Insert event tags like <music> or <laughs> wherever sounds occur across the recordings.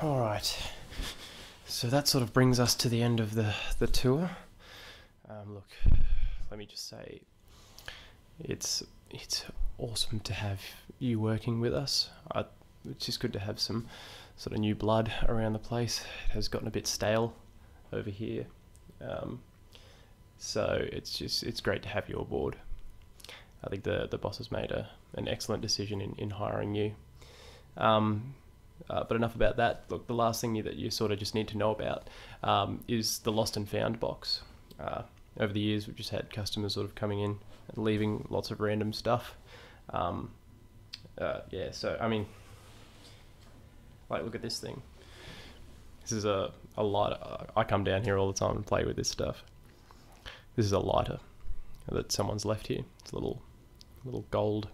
All right. So that sort of brings us to the end of the, the tour. Um, look, let me just say, it's it's awesome to have you working with us. it's just good to have some sort of new blood around the place. It has gotten a bit stale over here. Um, so it's just it's great to have you aboard. I think the the boss has made a, an excellent decision in, in hiring you. Um, uh, but enough about that. Look, the last thing that you sort of just need to know about um, is the lost and found box. Uh, over the years, we've just had customers sort of coming in and leaving lots of random stuff. Um, uh, yeah, so I mean, like, look at this thing. This is a, a lighter. I come down here all the time and play with this stuff. This is a lighter that someone's left here. It's a little, little gold,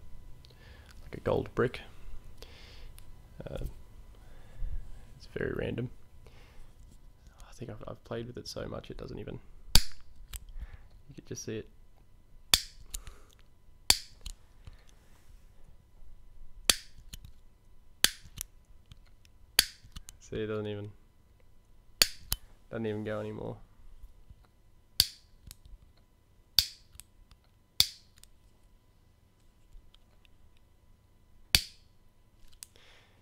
like a gold brick. Uh, it's very random. I think I've, played with it so much it doesn't even... You can just see it. See, it doesn't even doesn't even go anymore.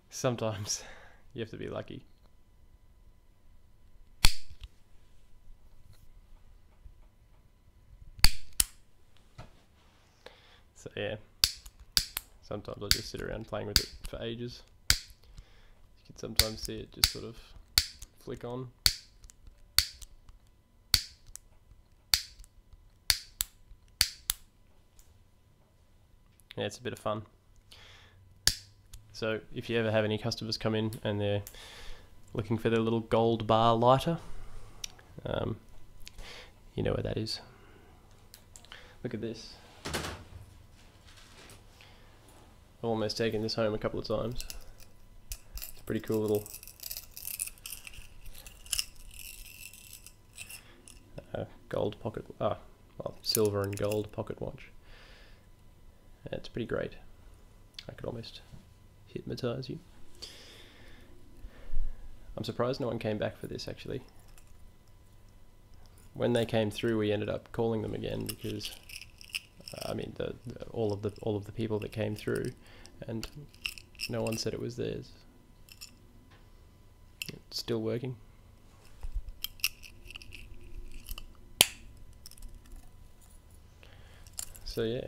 Sometimes <laughs> you have to be lucky. So yeah, sometimes I just sit around playing with it for ages. You can sometimes see it just sort of flick on. Yeah, it's a bit of fun. So if you ever have any customers come in and they're looking for their little gold bar lighter, um, you know where that is. Look at this. I've almost taken this home a couple of times. It's a pretty cool little uh, gold pocket, ah, well, silver and gold pocket watch. It's pretty great. I could almost hypnotize you. I'm surprised no one came back for this actually. When they came through, we ended up calling them again because, uh, I mean, all of the all of the people that came through, and no one said it was theirs. still working. So yeah.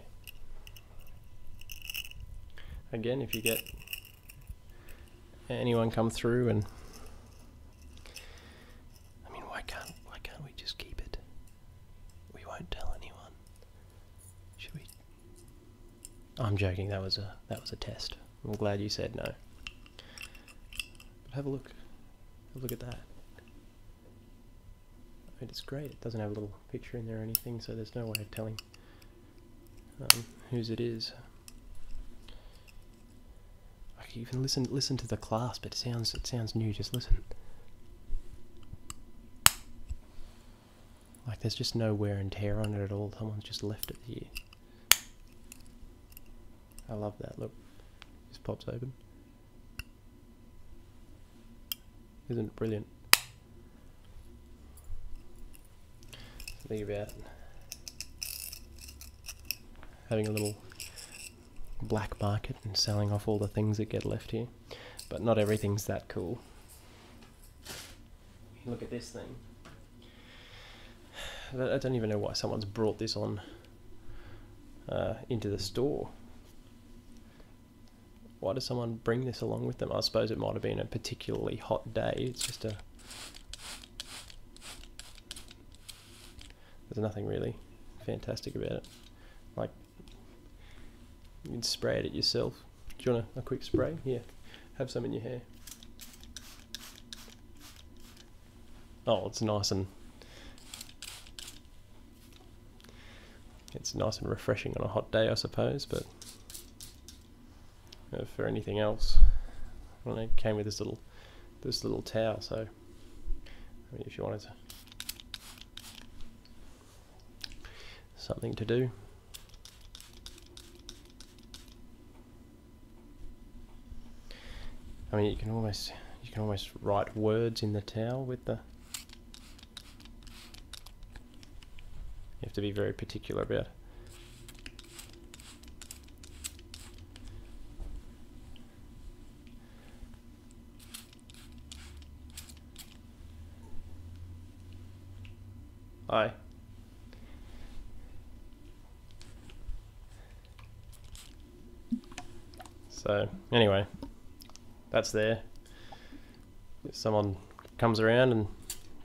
Again, if you get anyone come through and I mean why can't why can't we just keep it? We won't tell anyone. Should we I'm joking, that was a that was a test. I'm glad you said no. But have a look. Have a look at that. I mean, it's great. It doesn't have a little picture in there or anything, so there's no way of telling um, whose it is. You can listen listen to the clasp. It sounds it sounds new. Just listen. Like there's just no wear and tear on it at all. Someone's just left it here. I love that. Look, just pops open. Isn't it brilliant? Think about having a little black market and selling off all the things that get left here. But not everything's that cool. Look at this thing. I don't even know why someone's brought this on uh, into the store. Why does someone bring this along with them? I suppose it might have been a particularly hot day. It's just a... There's nothing really fantastic about it. Like, you can spray it at yourself. Do you want a, quick spray? Yeah. Have some in your hair. Oh, it's nice and it's nice and refreshing on a hot day, I suppose, but uh, for anything else. Well, it came with this little this little towel. so I mean, if you wanted to, something to do. I mean, you can almost you can almost write words in the towel with the you have to be very particular about it. So anyway, that's there. If someone comes around and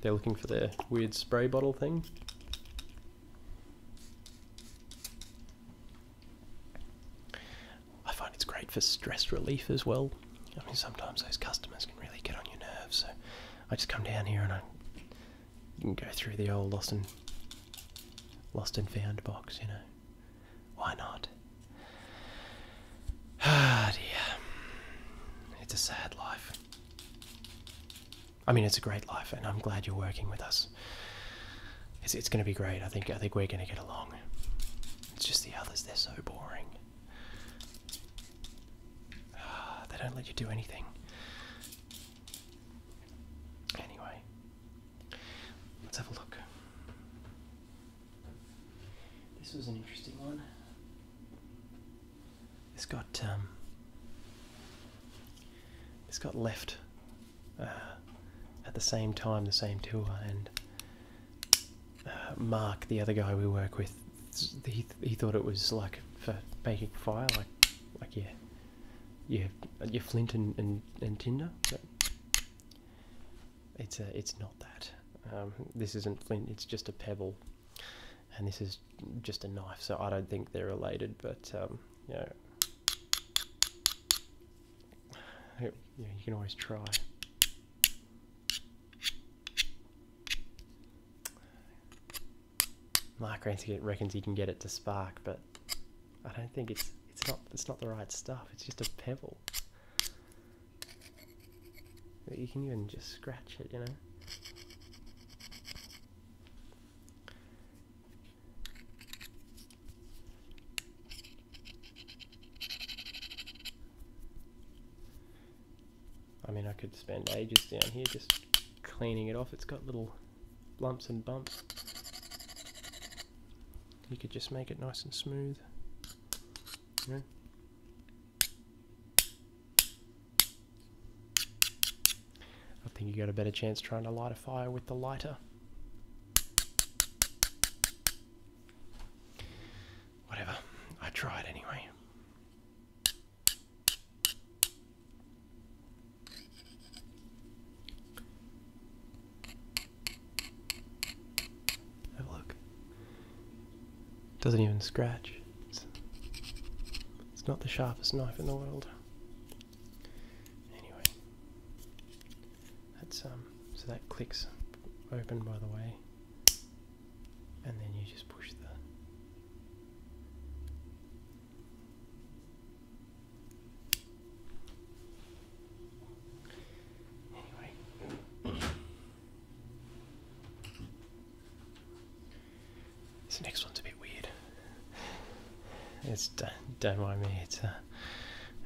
they're looking for their weird spray bottle thing. I find it's great for stress relief as well. I mean, sometimes those customers can really get on your nerves, so I just come down here and I can go through the old lost and lost and found box, you know. Why not? <sighs> Ah, dear. It's a sad life. I mean, it's a great life, and I'm glad you're working with us. It's, going to be great. I think I think we're going to get along. It's just the others; they're so boring. <sighs> they don't let you do anything. Anyway, let's have a look. This was an interesting one. It's got um, it's got left uh, at the same time, the same tool and uh, Mark, the other guy we work with, he he thought it was like for making fire, like like yeah, yeah, your flint and and, and tinder. But it's a, uh, it's not that. Um, this isn't flint. It's just a pebble and this is just a knife, so I don't think they're related, but um, you can always try. Mike Ransky reckons he can get it to spark, but I don't think it's it's not it's not the right stuff. It's just a pebble you can even just scratch it, you know? I mean, I could spend ages down here just cleaning it off. It's got little lumps and bumps. You could just make it nice and smooth. You know? I think you got a better chance trying to light a fire with the lighter. Whatever, I tried anyway. Have a look. Doesn't even scratch. It's, not the sharpest knife in the world. Anyway, that's um. So that clicks open, by the way, and then you just push the. Anyway. This next one's a bit weird. It's don't mind me. It's uh,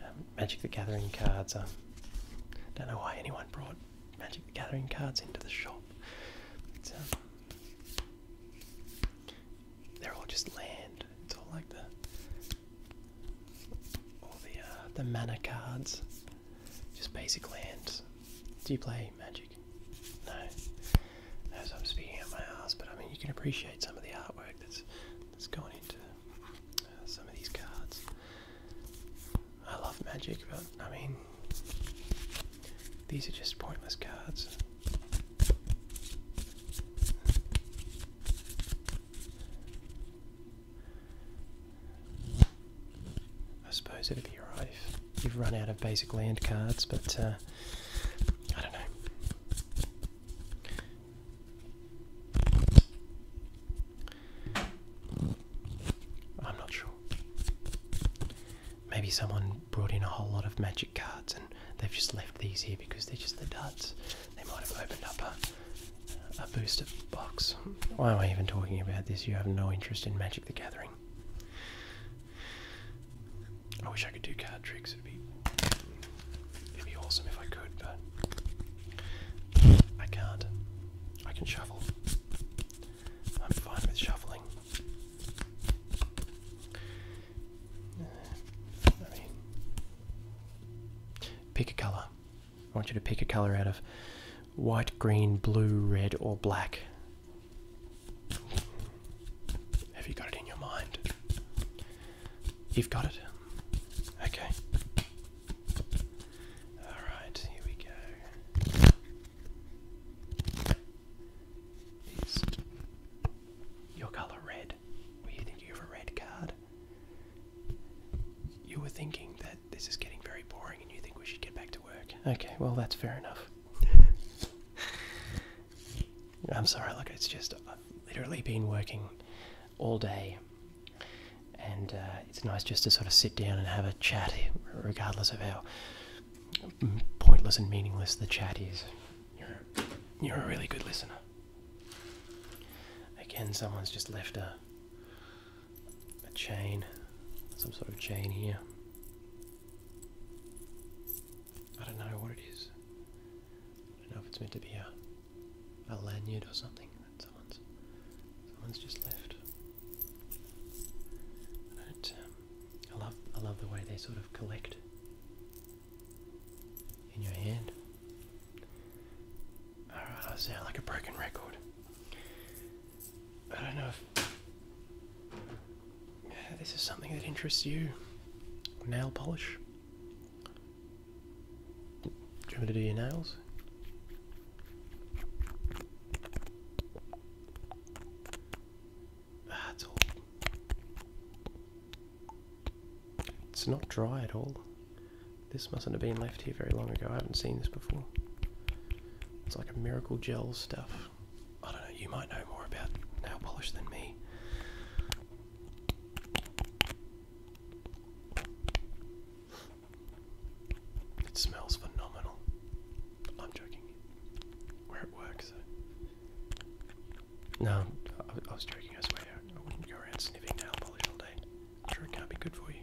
um, Magic the Gathering cards. I um, don't know why anyone brought Magic the Gathering cards into the shop. Um, they're all just land. It's all like the all the uh, the mana cards just basic lands. Do you play Magic? No. As I'm speaking out my ass, but I mean, you can appreciate some of the artwork that's that's into uh, some of these cards. I love Magic, but I mean, these are just pointless cards. I suppose it'd be alright if you've run out of basic land cards, but uh, I don't know. I'm not sure. Maybe someone brought in a whole lot of magic cards and they've just left these here because they're just the duds. They might have opened up a booster why am I even talking about this? You have no interest in Magic the Gathering. I wish I could do card tricks. It'd be, it'd be awesome if I could, but I can't. I can shuffle. I'm fine with shuffling. pick a color. I want you to pick a color out of white, green, blue, red, or black. Have you got it in your mind? You've got it. Okay. Alright, here we go. Is your colour red? Were you thinking a red card? You were thinking this is getting very boring and you think we should get back to work. Okay, well, that's fair enough. <laughs> I'm sorry, look, it's just I've uh, literally been working all day, and uh, it's nice just to sort of sit down and have a chat, eh, regardless of how pointless and meaningless the chat is. You're, you're a really good listener. Again, someone's just left a a chain, some sort of chain here. I don't know what it is. I don't know if it's meant to be a, a lanyard or something that someone's someone's just left. I don't. Um, I love I love the way they sort of collect in your hand. Alright, I sound like a broken record. I don't know if this is something that interests you. Nail polish. Do you want me to do your nails? Ah, all. It's not dry at all. This mustn't have been left here very long ago. I haven't seen this before. It's like a miracle gel stuff. I don't know, you might know more about nail polish than me. It smells phenomenal. I'm joking. Where it works. Uh, no, I was joking, I swear. I wouldn't go around sniffing nail polish all day. I'm sure it can't be good for you.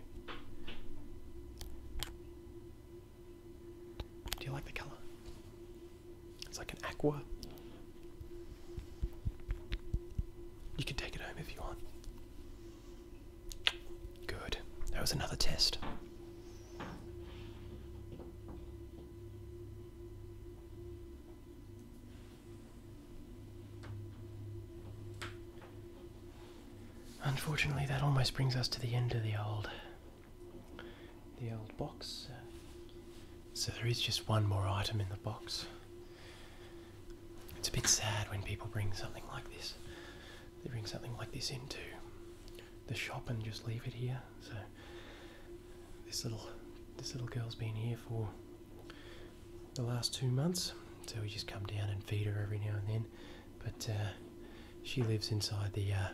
Do you like the color? It's like an aqua. You can take it home if you want. Good. That was another test. Unfortunately, that almost brings us to the end of the old, the old box. So there is just one more item in the box. It's a bit sad when people bring something like this. They bring something like this into the shop and just leave it here. So this little this little girl's been here for the last two months. So we just come down and feed her every now and then but uh, she lives inside uh,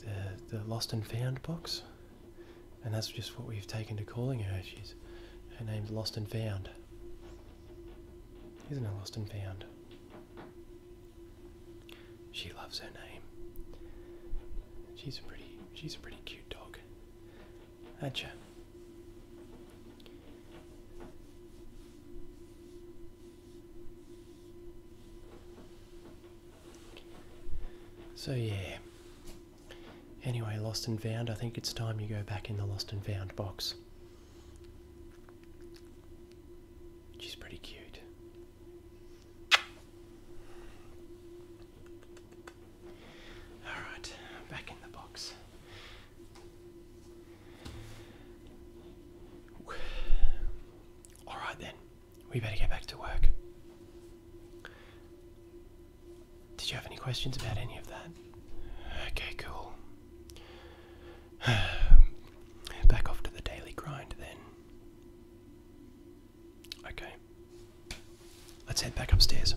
the, the lost and found box, and that's just what we've taken to calling her. She's her name's Lost and Found. Isn't it Lost and Found? She loves her name. She's a pretty she's a pretty cute dog. Aren't you? So yeah. Anyway, lost and found, I think it's time you go back in the lost and found box. She's pretty cute. Alright, back in the box. <sighs> All right then, we better get back to work. Did you have any questions about any of that? Okay, cool. <sighs> Back off to the daily grind then. Okay. Let's head back upstairs.